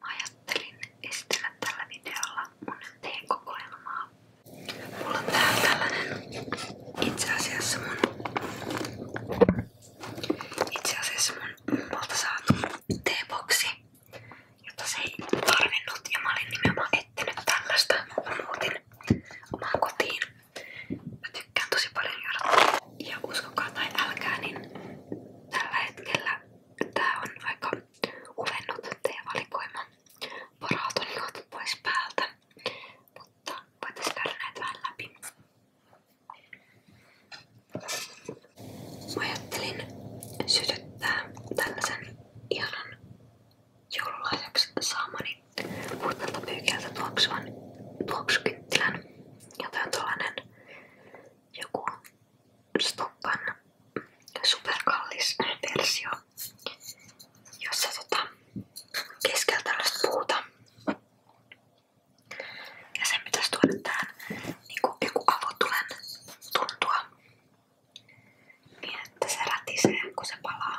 Mä ajattelin esitellä tällä videolla mun teekokoelmaa. Mulla on täällä tällainen itse asiassa mun itse asiassa mun mummolta saatu teeboksi, jota se ei tarvinnut ja mä olin nimenomaan etsinyt tällaista, kun mä muutin omaan kotiin. Mä tykkään tosi paljon juoda. Ja uskokaa tai älkää, niin tällä hetkellä Tää on aika uvennut teevalikoima. Poraat on juotu pois päältä, mutta voitais käydä näitä vähän läpi. Mä ajattelin sytyttää tällaisen ihanan joululahjaksi saamani puhtaalta pyykeltä tuoksuvan tuoksukyttilän. Ja tää on tollanen joku Stoppan superkallis versio, jossa tota, keskellä tällaista puuta. Ja sen pitäisi tuoda tähän niinku joku avotulen tuntua. Niin että se rätisee kun se palaa.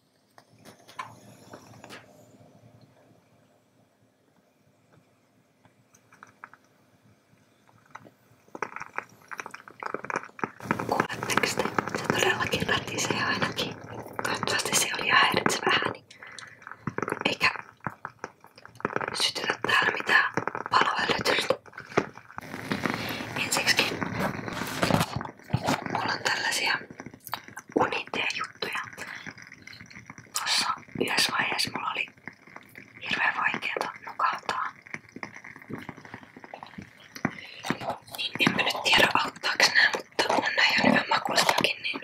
Kuuletteko te? Se todellakin ratisee ainakin. Toivottavasti se oli häiritsevä ääni. Niin eikä sytytä täällä mitään paloa Ensiksikin mulla on tällaisia unitea juttuja. Tuossa yhdessä vaiheessa mulla oli hirveän vaikeeta nukahtaa. Niin enpä nyt tiedä auttaako nää, mutta on nää ihan hyvän makuistakin, niin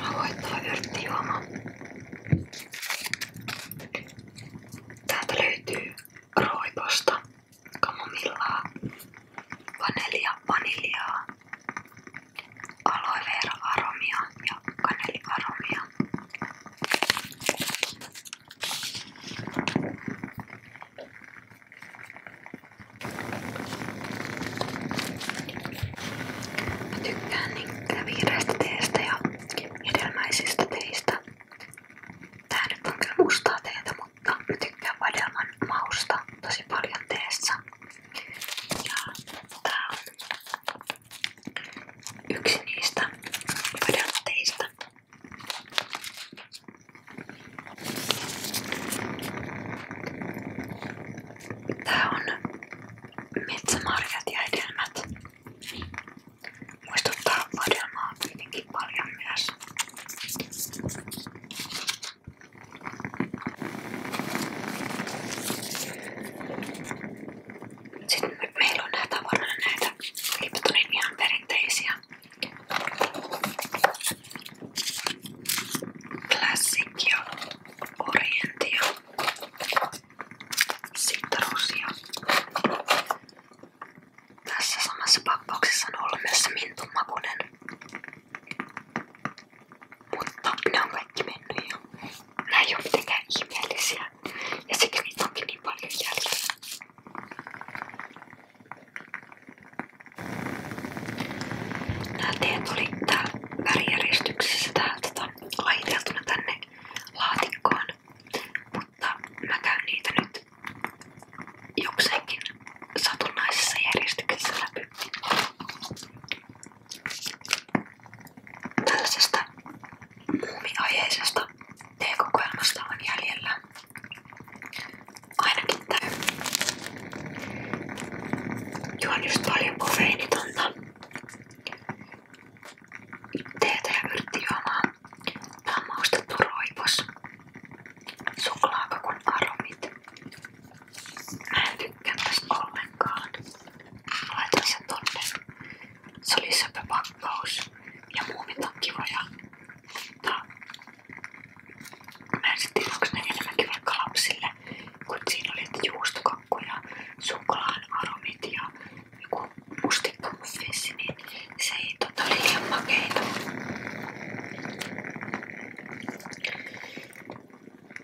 Rauhoittava yrttijuoma. Täältä löytyy roiposta, kamomillaa, vanelia, vaniljaa, aloe vera aromia ja kaneliaromia. Mä tykkään niitä vihreistä teistä ja hedelmäisistä teistä. Tää nyt on kyllä mustaa teetä, mutta mä tykkään vadelman mausta tosi paljon teessä. Ja tää tota, on yksi niistä vedotteista. Tää on metsämarjat ja hedelmät. Muistuttaa vadelmaa hyvinkin paljon myös tästä. Sitten meillä on nää tavarana näitä Liptonin ihan perinteisiä Classic ja Orientia, Citrusia. Tässä samassa pakkauksessa on ollut myös mintunmakunen mutta ne on kaikki mennyt jo. Nää ei oo niin paljon jäljellä. Nää oli täällä värijärjestyksessä täältä tota, laiteltuna tänne laatikkoon. Mutta mä käyn nyt jokseenkin satunnaisessa järjestyksessä läpi. Tällaisesta muumiaiheisesta teekokoelmasta on jäljellä ainakin tää. Juon just paljon kofeiinitonta teetä ja yrttijuomaa. Tää on maustettu roivos. Suklaakakun aromit. Mä en tykkää tästä ollenkaan. Mä laitan sen tonne. Se oli söpö pakkaus. Ja muumit on kivoja. Mutta mä en sit tiedä, onko ne enemmänkin vaikka lapsille. Kun siinä oli että juustokakku ja suklaan aromit ja joku mustikkamuffissi, niin se ei tota liian makeita.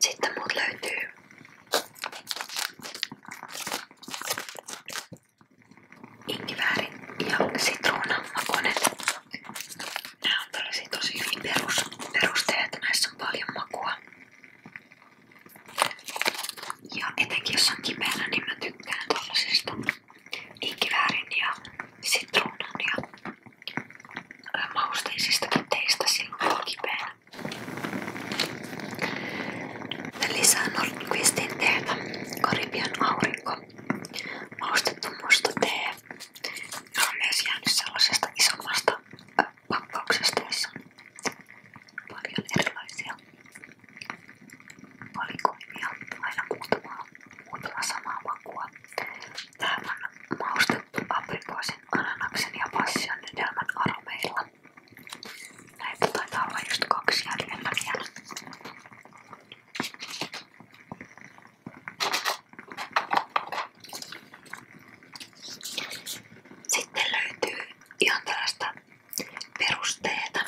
Sitten muut löytyy inkiväärin ja sitruunan makunen. Nää on tällaisia tosi hyvin perus, perusteita, näissä on paljon makua. Ja etenkin jos on kipeänä, niin mä tykkään tällaisista inkiväärin ja sitruunan ja mausteisistakin teistä silloin kipeänä. Lisää Nordqvistin teetä, Karibian aurinko, maustettu musta tee, joka on myös jäänyt sellaisesta isommasta pakkauksesta, jossa on paljon erilaisia valikoimia, aina muutama, samaa makua. Tää keitetty aprikoosin, ananaksen ja passion yhdelmän aromeilla. Näitä taitaa olla just kaksi jäljellä vielä. Sitten löytyy ihan tällaista perusteita.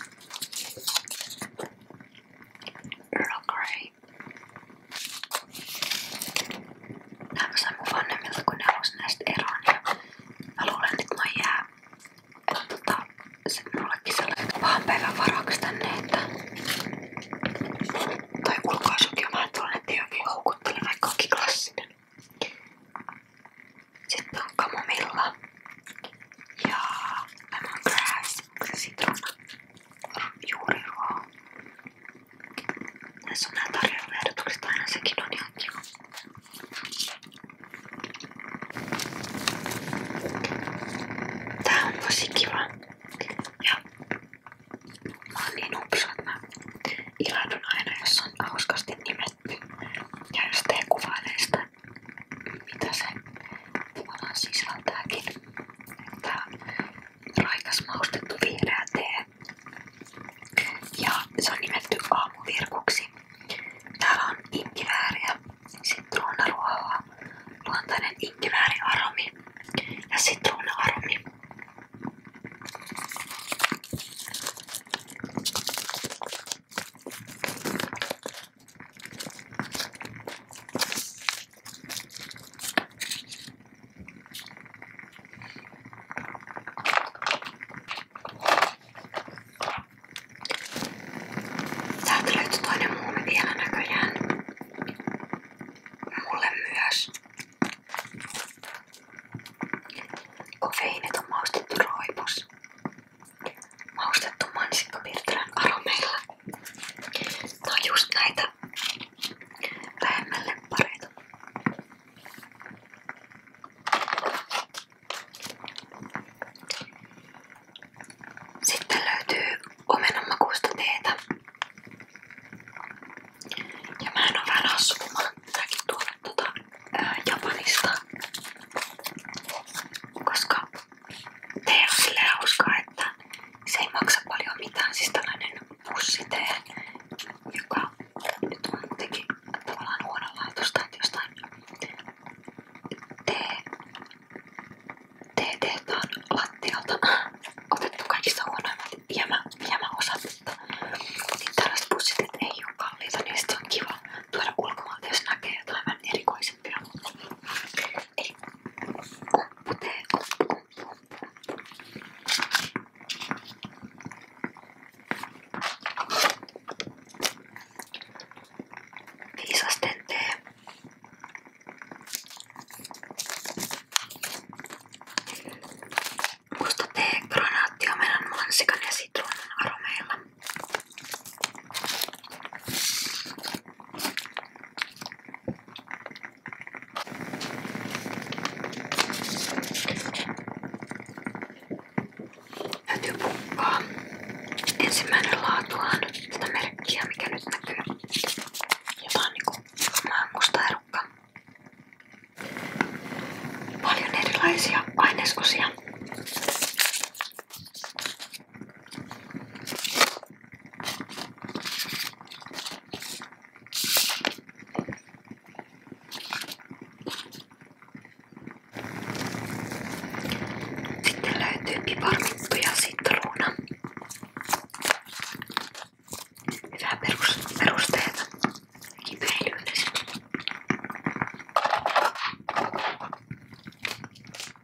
Earl Grey niin Nää mä sain mun vanhemmilta, kun ne halusi näistä eroon ja niin mä luulen, että mä jää et tota, se mullekin sellainen pahan päivän varaksi tänne, että tai ulkoasukin on vähän tuollainen, että jokin houkutteli vaikka onkin klassinen. Sitten on kamomilla ja lemongrass, sitruuna juuri vaan. Tässä on nää tarjoiluehdotukset aina sekin on ihan kiva. Tää on tosi kiva. Ja mä oon niin upso, että mä ilahdun aina, jos on hauskasti nimetty. Ja jos tee kuvailee sitä, mitä se tavallaan sisältääkin. Tää raikas maustettu vihreä tee. Ja se on nimetty aamuvirkuksi. Täällä on inkivääriä, sitruunaruohoa, luontainen inkivääriaromi ja sitruunaaromi. Täältä löytyi toinen muumi vielä näköjään. Mulle myös. Kofeiinit on aromeilla. No just näitä tästä lähemmälle pareita. Sitten löytyy omenanmakuista teetä. Ja mä en oo vähän assu, kun mä oon tuonut tuota, ää, Japanista. Koska tee on silleen hauska, että se ei maksa paljon mitään. Siis tällainen pussitee, joka nyt on jotenkin tavallaan huonolaatusta, että jostain tee, tee tehtaan lattialta otettu kaikista huonoimmat jämä, jämäosat. Niin tällaiset pussiteet ei ole kalliita, niin se on kiva tuoda ulkomailta, jos näkee jotain vähän erikoisempia. Eli umputee, umputee, umputee. Viisasten tee. Musta tee, granaatti, omenan, mansikan ja sitruunan aromeilla. Täytyy pukkaa ensimmäinen laatuaan sitä merkkiä, mikä nyt näkyy. Jotain niinku musta erukka. Paljon erilaisia ainesosia. Sitten löytyy piparmikko ja sitruuna. Hyvää perusteita kipeilyydessä. Tää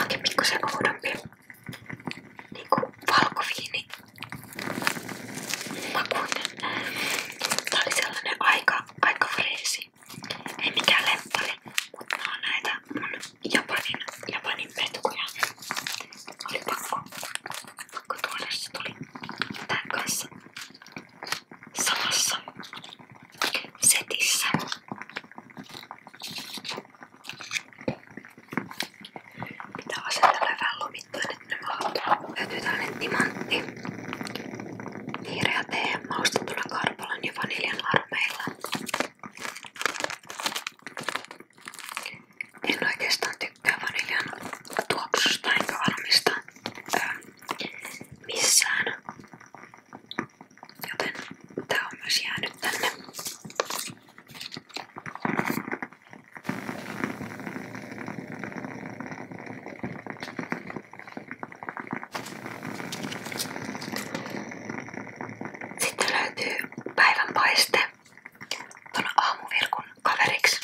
onkin pikkusen oudompi. Niinku valkoviini. Makuinen. Tää oli sellainen aika, aika freesi. Ei mikään lemppari, mutta nämä on näitä mun Japanin, Japanin petuja. Oli pakko, pakko tuoda, se tuli tämän kanssa samassa setissä. Pitää asetella vähän lomittaa, että nämä on täytyy timantti. Vihreä tee maustettuna karpalan ja vaniljan armeilla. En oikeastaan tykkää vaniljan tuoksusta enkä valmista ää, missään. Joten tää on myös tänne. Sitten löytyy päivänpaiste tuon aamuvirkun kaveriksi.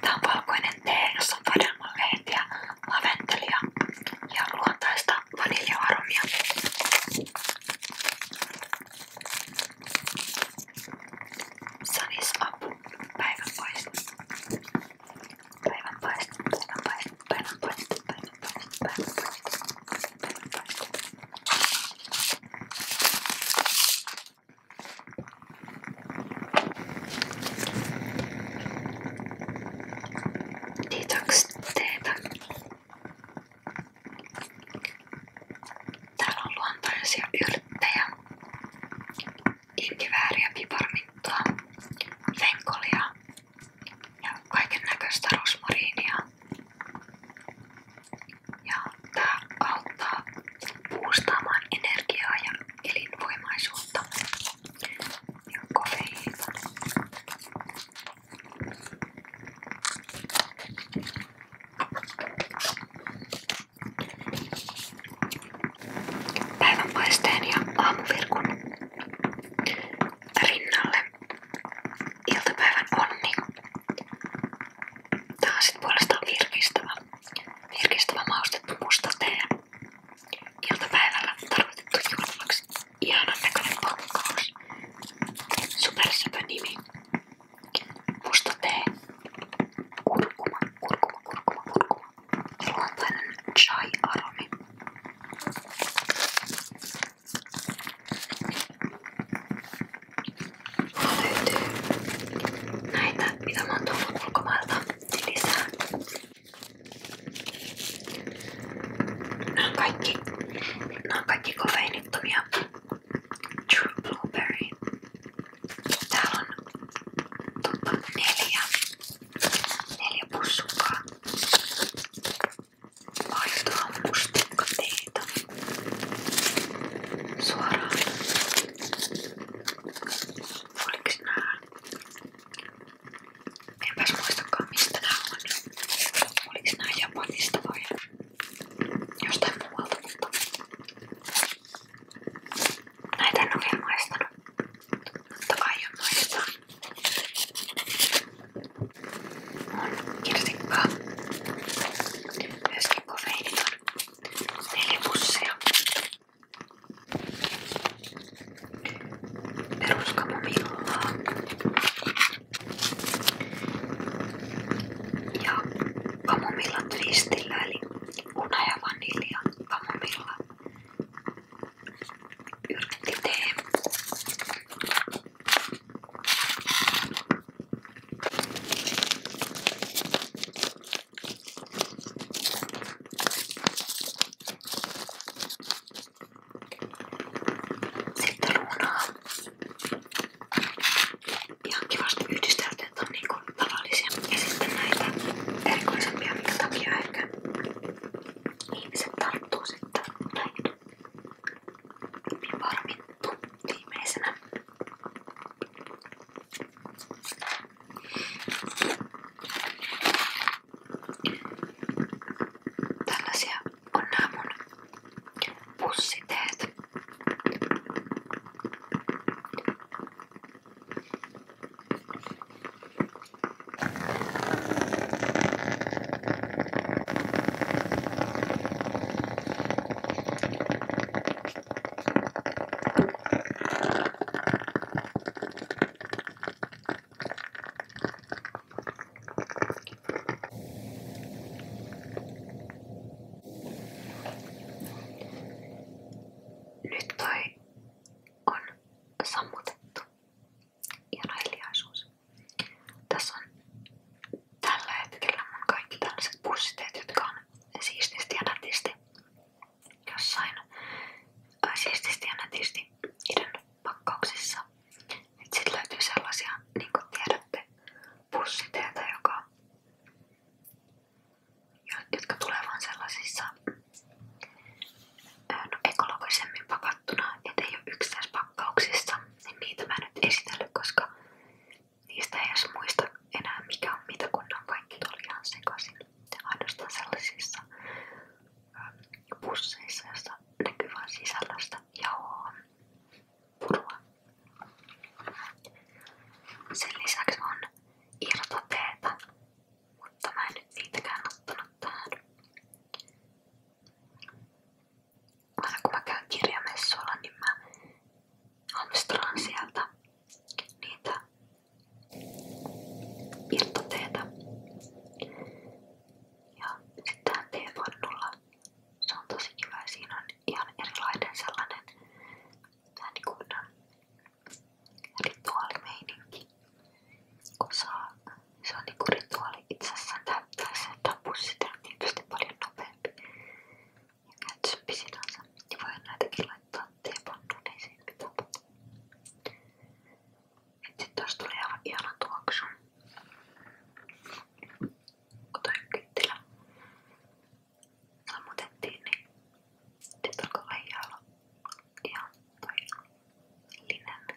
Tää on valkoinen tee, jossa on vadelmanlehtiä, laventelia ja luontaista vaniljaaromia. Sun is up. Päivänpaiste. Päivänpaiste. Päivänpaiste. Päivänpaiste. Päivänpaiste. Det är dags teetä. Täällä on luontaisia yrttejä, inkivääriä, piparminttua, venkolia ja kaiken näköistä rosmariinia. Ja tää auttaa puustaamaan energiaa ja elinvoimaisuutta ja kofeiinta. Päivänpaisteen ja aamuvirkun rinnalle iltapäivän onni. Tää on sit puolestaan virkistävä, virkistävä maustettu musta tee. Iltapäivällä tarkoitettu juhlaksi. Ihanan näköinen pakkaus. Supersöpö nimi. Musta tee. Kurkuma, kurkuma, kurkuma, kurkuma. Luontainen chai aromi. Löytyy näitä, mitä mä oon tullut ulkomailta niin lisää. Nämä on kaikki, nämä on kaikki kofeinittomia. True Blueberry. Täällä on totta neljä, neljä pussukkaa. Vaihtaa mustikkateita suoraan. Oliks nää? Enpäs muistakaan mistä nää on. Oliks nää Japanista vai jostain muualta, mutta näitä en oo vielä maistanut. Mutta aion maistaa kirsikkaa myöskin kofeiiniton neljä pussia peruskamomillaa ja kamomilla twistillä eli una ja vanilja kamomilla yrttitee sitten runaa. Ihan kivasti yhdisteltyt on niinku tavallisia ja sitten näitä erikoisempia, minkä takia ehkä ihmiset tarttuu sitten näihin varmittu viimeisenä. Tällaisia on nämä mun pussiteet. Nyt toi on sammutettu hieno hiljaisuus. Tässä on tällä hetkellä mun kaikki tällaiset pussiteet, jotka on siististi ja nätisti jossain ää, äh, siististi ja nätisti idän pakkauksissa. Et sit löytyy sellaisia, niin kuin tiedätte, pussiteitä, joka, jotka tulee vaan sellaisissa no, ekologisemmin pakattuna, ettei ole yksittäispakkauksissa, niin niitä mä en nyt esitellyt, koska niistä ei edes muista enää mikä on mitä, kun ne on kaikki tuolla ihan sekaisin. Ainoastaan sellaisissa pusseissa, joissa näkyy vain sisällöstä jauhoa purua. Sen lisäksi on irtoteetä, mutta mä en nyt niitäkään ottanut tähän. Aina kun mä käyn kirjamessuilla, niin mä hamstraan sieltä niitä irtoteitä. Ja sitten teepannulla se on tosi kiva ja siinä on ihan erilainen sellainen vähän niin kuin rituaalimeininki, kun saa se on niinku rituaali itsessään täyttää se tapus sitä on tietysti paljon nopeampi ja käytösempi sinänsä. Ja niin voi näitäkin laittaa teepannuun, ei niin siinä mitään Et sit taas tuli aivan ihana tuoksu. Kun toi kyttilä sammutettiin, niin sit alkoi lähiä olla ihan toi linen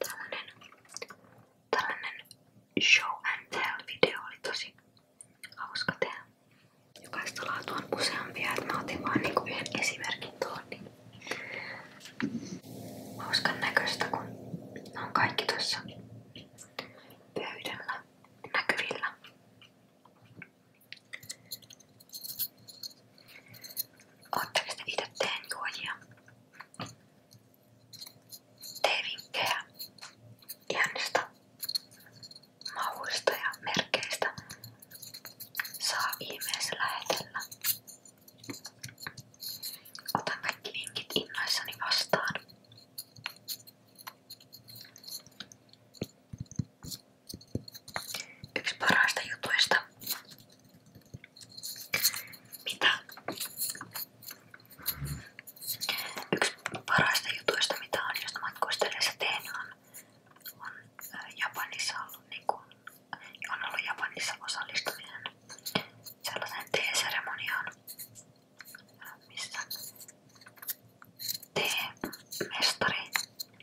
Tällainen, tällainen show and tell video oli tosi hauska tehdä. Jokaista laatua on useampia, että mä otin vaan niinku yhden esimerkin tuohon. Niin hauskan näköistä, kun ne on kaikki tuossa pöydällä näkyvillä. Ootteko te itse teenjuojia? Teevinkkejä ihanista mavuista ja merkeistä saa ihmeessä lähetellä. Otan kaikki vinkit innoissani vastaan. Yksi parhaista jutuista, mitä yksi parhaista jutuista, mitä on just matkustellessa tehnyt, on, on äh, Japanissa ollut, niin kuin, on ollut Japanissa osallistuminen sellaiseen teeseremoniaan, missä Tee-mestari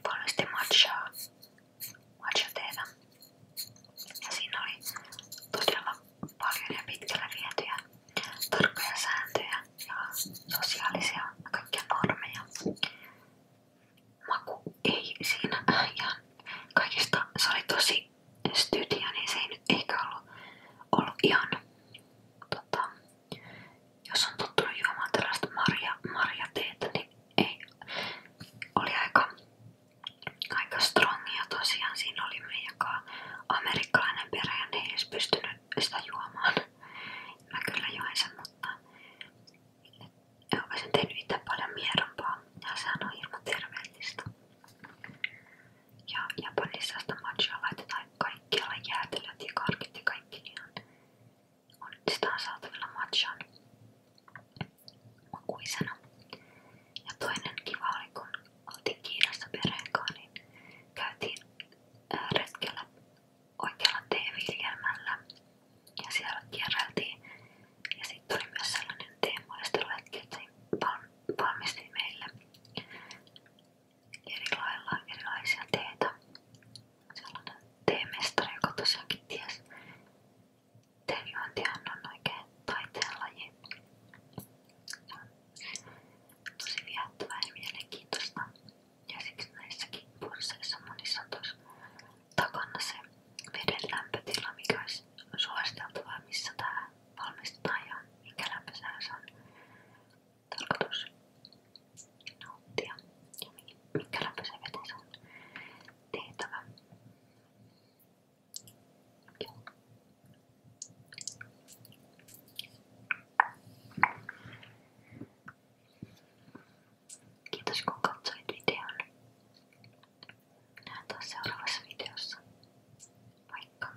valmisti matchaa, matchateetä. Ja siinä oli todella paljon ja pitkälle vietyjä tarkkoja sääntöjä ja sosiaalisia kaikkia normeja. Maku ei siinä ja kaikista se oli tosi studia, niin se ei nyt ehkä ollut, ollut ihan tota, jos on tottunut juomaan tällaista marja, marjateetä, niin ei. Oli aika, aika strongia tosiaan. Siinä oli meidän amerikkalainen perä ja ne ei edes pystynyt sitä juomaan. Mä kyllä join sen, mutta ja olisin tehnyt itse paljon miedompaa ja sehän on ilman terveellistä. Ja Japanissa sitä matchaa laitetaan kaikkialla jäätelöt ja karkit ja kaikki ihan niin on nyt sitä saatavilla matchaan makuisena. Ja toinen kiva oli, kun oltiin Kiinassa perheen niin käytiin äh, retkellä oikealla teeviljelmällä ja siellä kierreltiin. Ja sitten oli myös sellainen teemaistelu, että valmisti meille eri lailla erilaisia teitä. Sellainen teemestari, joka tosiaankin ties. Teejuontihan on oikein taiteenlaji. Se on tosi viehättävää ja mielenkiintoista. Ja siksi näissäkin pursseissa monissa on tuossa takana se veden lämpötila, mikä olisi suositeltavaa, missä tämä valmistetaan ja minkä lämpöisellä se on tarkoitus nauttia ja minkä lämpöisen veden se on tehtävä. Joo. Kiitos kun katsoit videon. Nähdään taas seuraavassa videossa. Moikka!